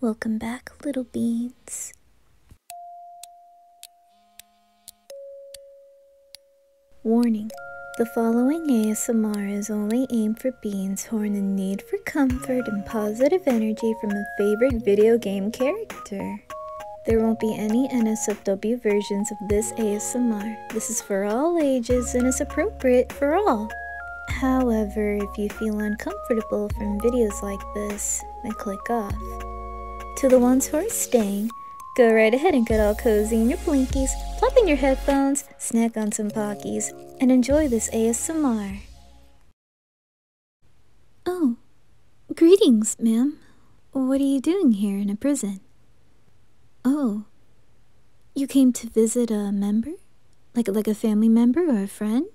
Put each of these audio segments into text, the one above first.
Welcome back, little beans. Warning The following ASMR is only aimed for beans who are in need for comfort and positive energy from a favorite video game character. There won't be any NSFW versions of this ASMR. This is for all ages and is approved for all. However, if you feel uncomfortable from videos like this, then click off. To the ones who are staying, go right ahead and get all cozy in your blinkies, plop in your headphones, snack on some Pockies, and enjoy this ASMR. Oh, greetings, ma'am. What are you doing here in a prison? Oh, you came to visit a member? Like, like a family member or a friend?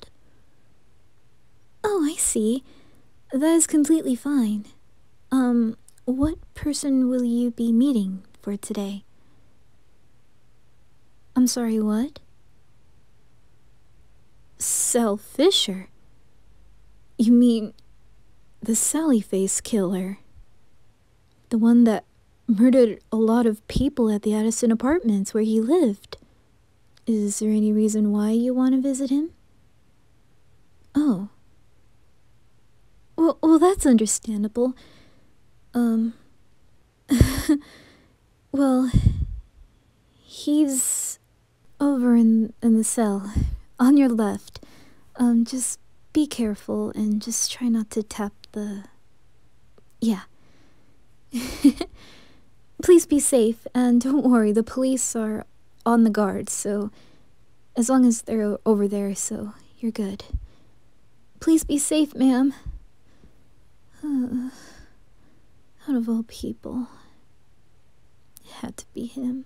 Oh, I see. That is completely fine. Um, what person will you be meeting for today? I'm sorry, what? Sal Fisher? You mean the Sally Face Killer? The one that murdered a lot of people at the Addison Apartments where he lived. Is there any reason why you want to visit him? Oh. Well, well that's understandable. Um. well, he's over in, in the cell, on your left. Um, just be careful and just try not to tap the yeah. Please be safe, and don't worry, the police are on the guard, so as long as they're over there, so you're good. Please be safe, ma'am. out of all people, it had to be him.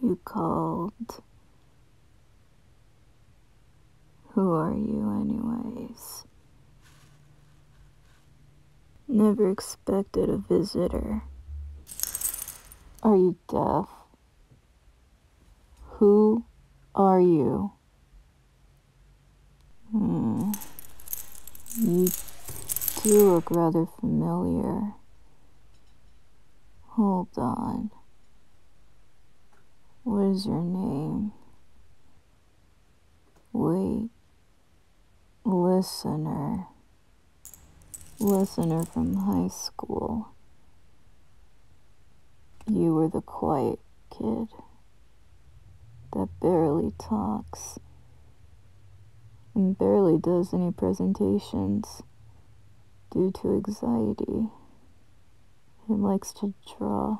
You called who are you, anyways? Never expected a visitor. Are you deaf? Who are you? Hmm. You do look rather familiar. Hold on. What is your name? Wait. Listener. Listener from high school. You were the quiet kid that barely talks and barely does any presentations due to anxiety who likes to draw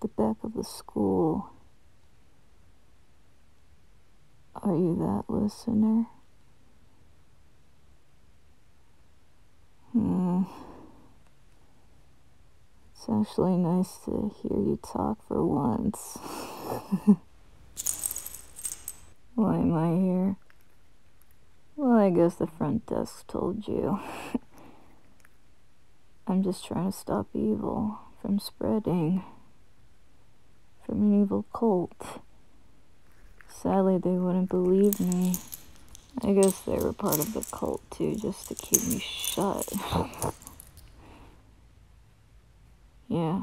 the back of the school. Are you that listener? Hmm. It's actually nice to hear you talk for once. Why am I here? Well, I guess the front desk told you. I'm just trying to stop evil from spreading. From an evil cult. Sadly, they wouldn't believe me. I guess they were part of the cult too, just to keep me shut. yeah.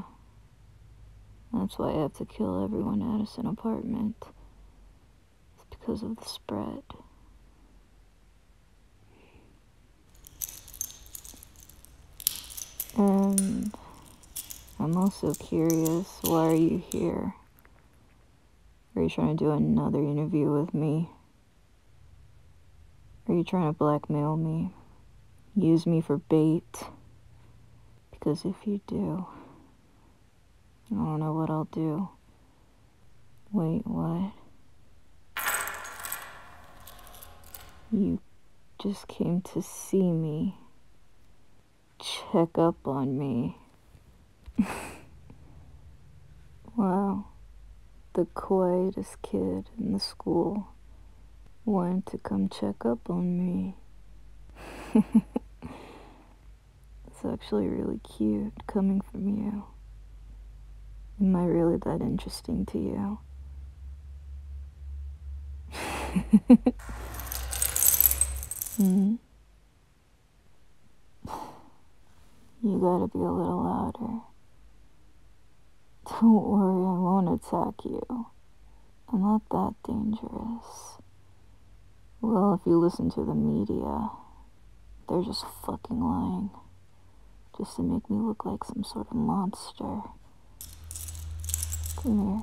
That's why I have to kill everyone at Addison apartment. It's because of the spread. And I'm also curious, why are you here? Are you trying to do another interview with me? Are you trying to blackmail me? Use me for bait? Because if you do, I don't know what I'll do. Wait, what? You just came to see me. Check up on me. wow. The quietest kid in the school wanted to come check up on me. It's actually really cute coming from you. Am I really that interesting to you? mm. You gotta be a little louder. Don't worry, I won't attack you. I'm not that dangerous. Well, if you listen to the media, they're just fucking lying. Just to make me look like some sort of monster. Come here.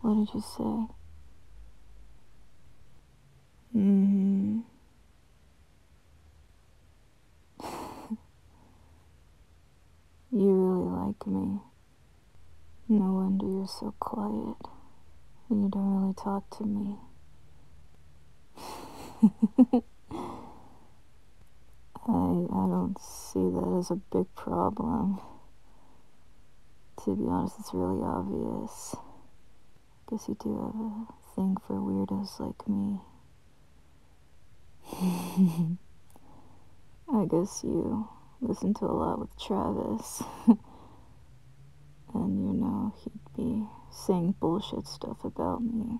What did you say? hmm you really like me. No wonder you're so quiet. You don't really talk to me. I, I don't see that as a big problem. To be honest, it's really obvious. Guess you do have a thing for weirdos like me. I guess you listen to a lot with Travis. and you know, he'd be saying bullshit stuff about me.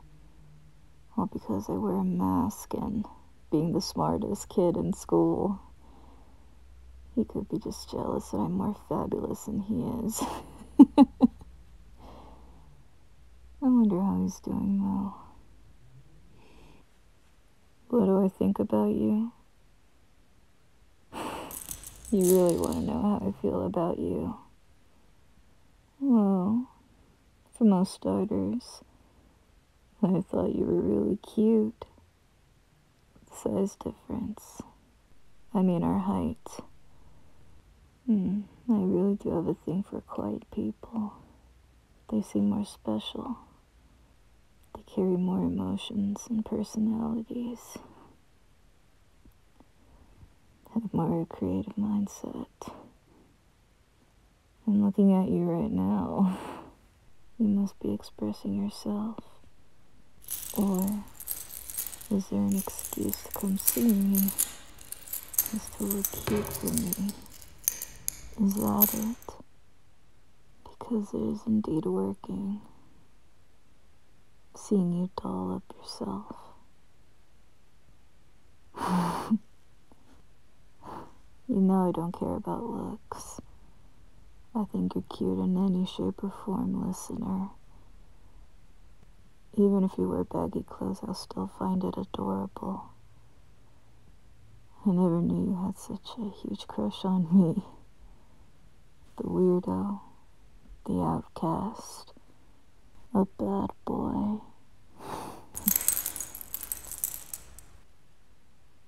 All because I wear a mask and being the smartest kid in school. He could be just jealous that I'm more fabulous than he is. I wonder how he's doing though. What do I think about you? You really want to know how I feel about you. Well, for most starters, I thought you were really cute. Size difference. I mean, our height. Hmm, I really do have a thing for quiet people. They seem more special. They carry more emotions and personalities, have a more creative mindset. I'm looking at you right now. You must be expressing yourself. Or is there an excuse to come see me? Is to look cute for me? Is that it? because it is indeed working, seeing you doll up yourself. you know I don't care about looks. I think you're cute in any shape or form, listener. Even if you wear baggy clothes, I'll still find it adorable. I never knew you had such a huge crush on me. The weirdo, the outcast, a bad boy.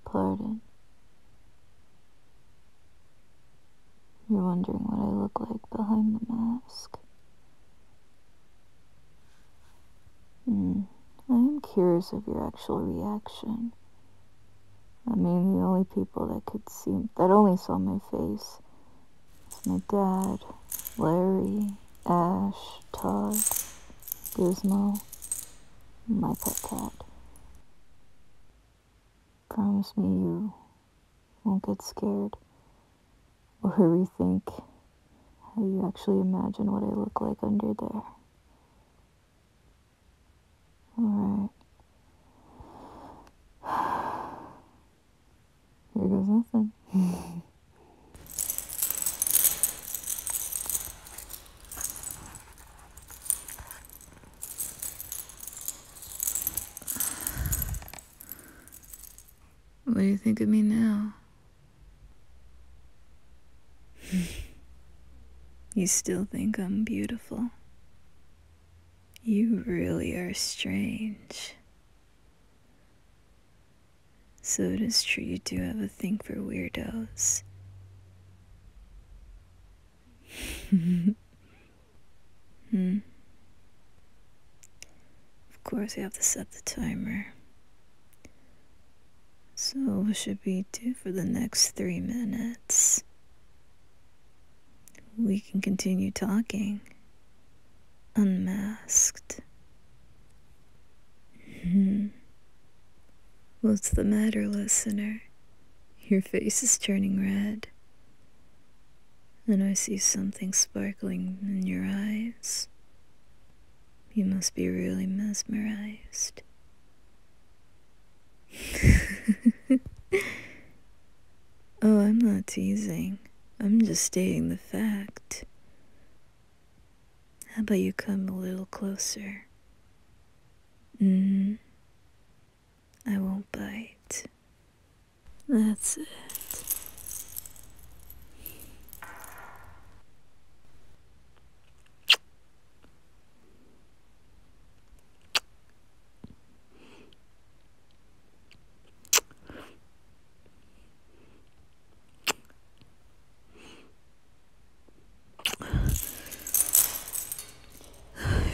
Pardon. You're wondering what I look like behind the mask. I am hmm. curious of your actual reaction. I mean, the only people that could see, that only saw my face, is my dad, Larry, Ash, Todd, Gizmo, my pet cat. Promise me you won't get scared or rethink how you actually imagine what I look like under there. All right. Here goes nothing. what do you think of me now? you still think I'm beautiful. You really are strange. So it is true you do have a thing for weirdos. hmm. Of course, we have to set the timer. So we should be due for the next three minutes. We can continue talking. Unmasked. Hmm. What's the matter, listener? Your face is turning red. And I see something sparkling in your eyes. You must be really mesmerized. oh, I'm not teasing. I'm just stating the fact. How about you come a little closer? Mm. I won't bite. That's it.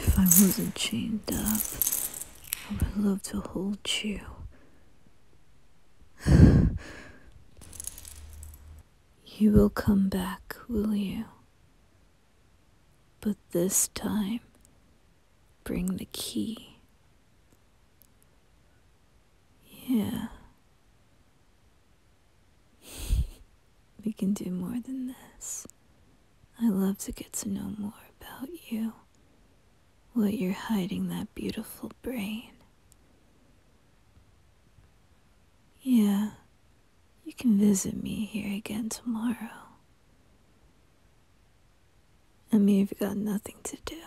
If I wasn't chained up, I would love to hold you. You will come back, will you? But this time, bring the key. Yeah. we can do more than this. I love to get to know more about you. What you're hiding that beautiful brain. Yeah, you can visit me here again tomorrow. I mean, you've got nothing to do.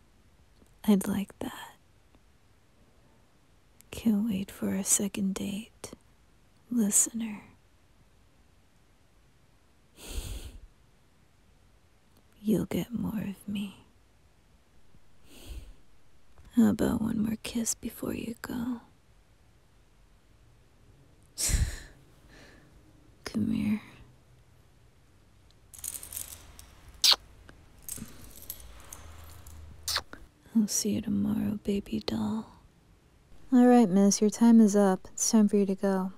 I'd like that. Can't wait for our second date, listener. you'll get more of me. How about one more kiss before you go? Come here. I'll see you tomorrow, baby doll. Alright, miss, your time is up. It's time for you to go.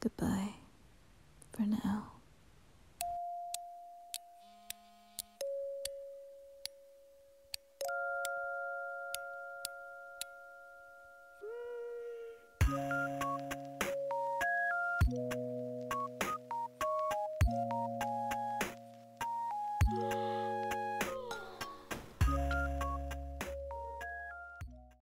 Goodbye for now.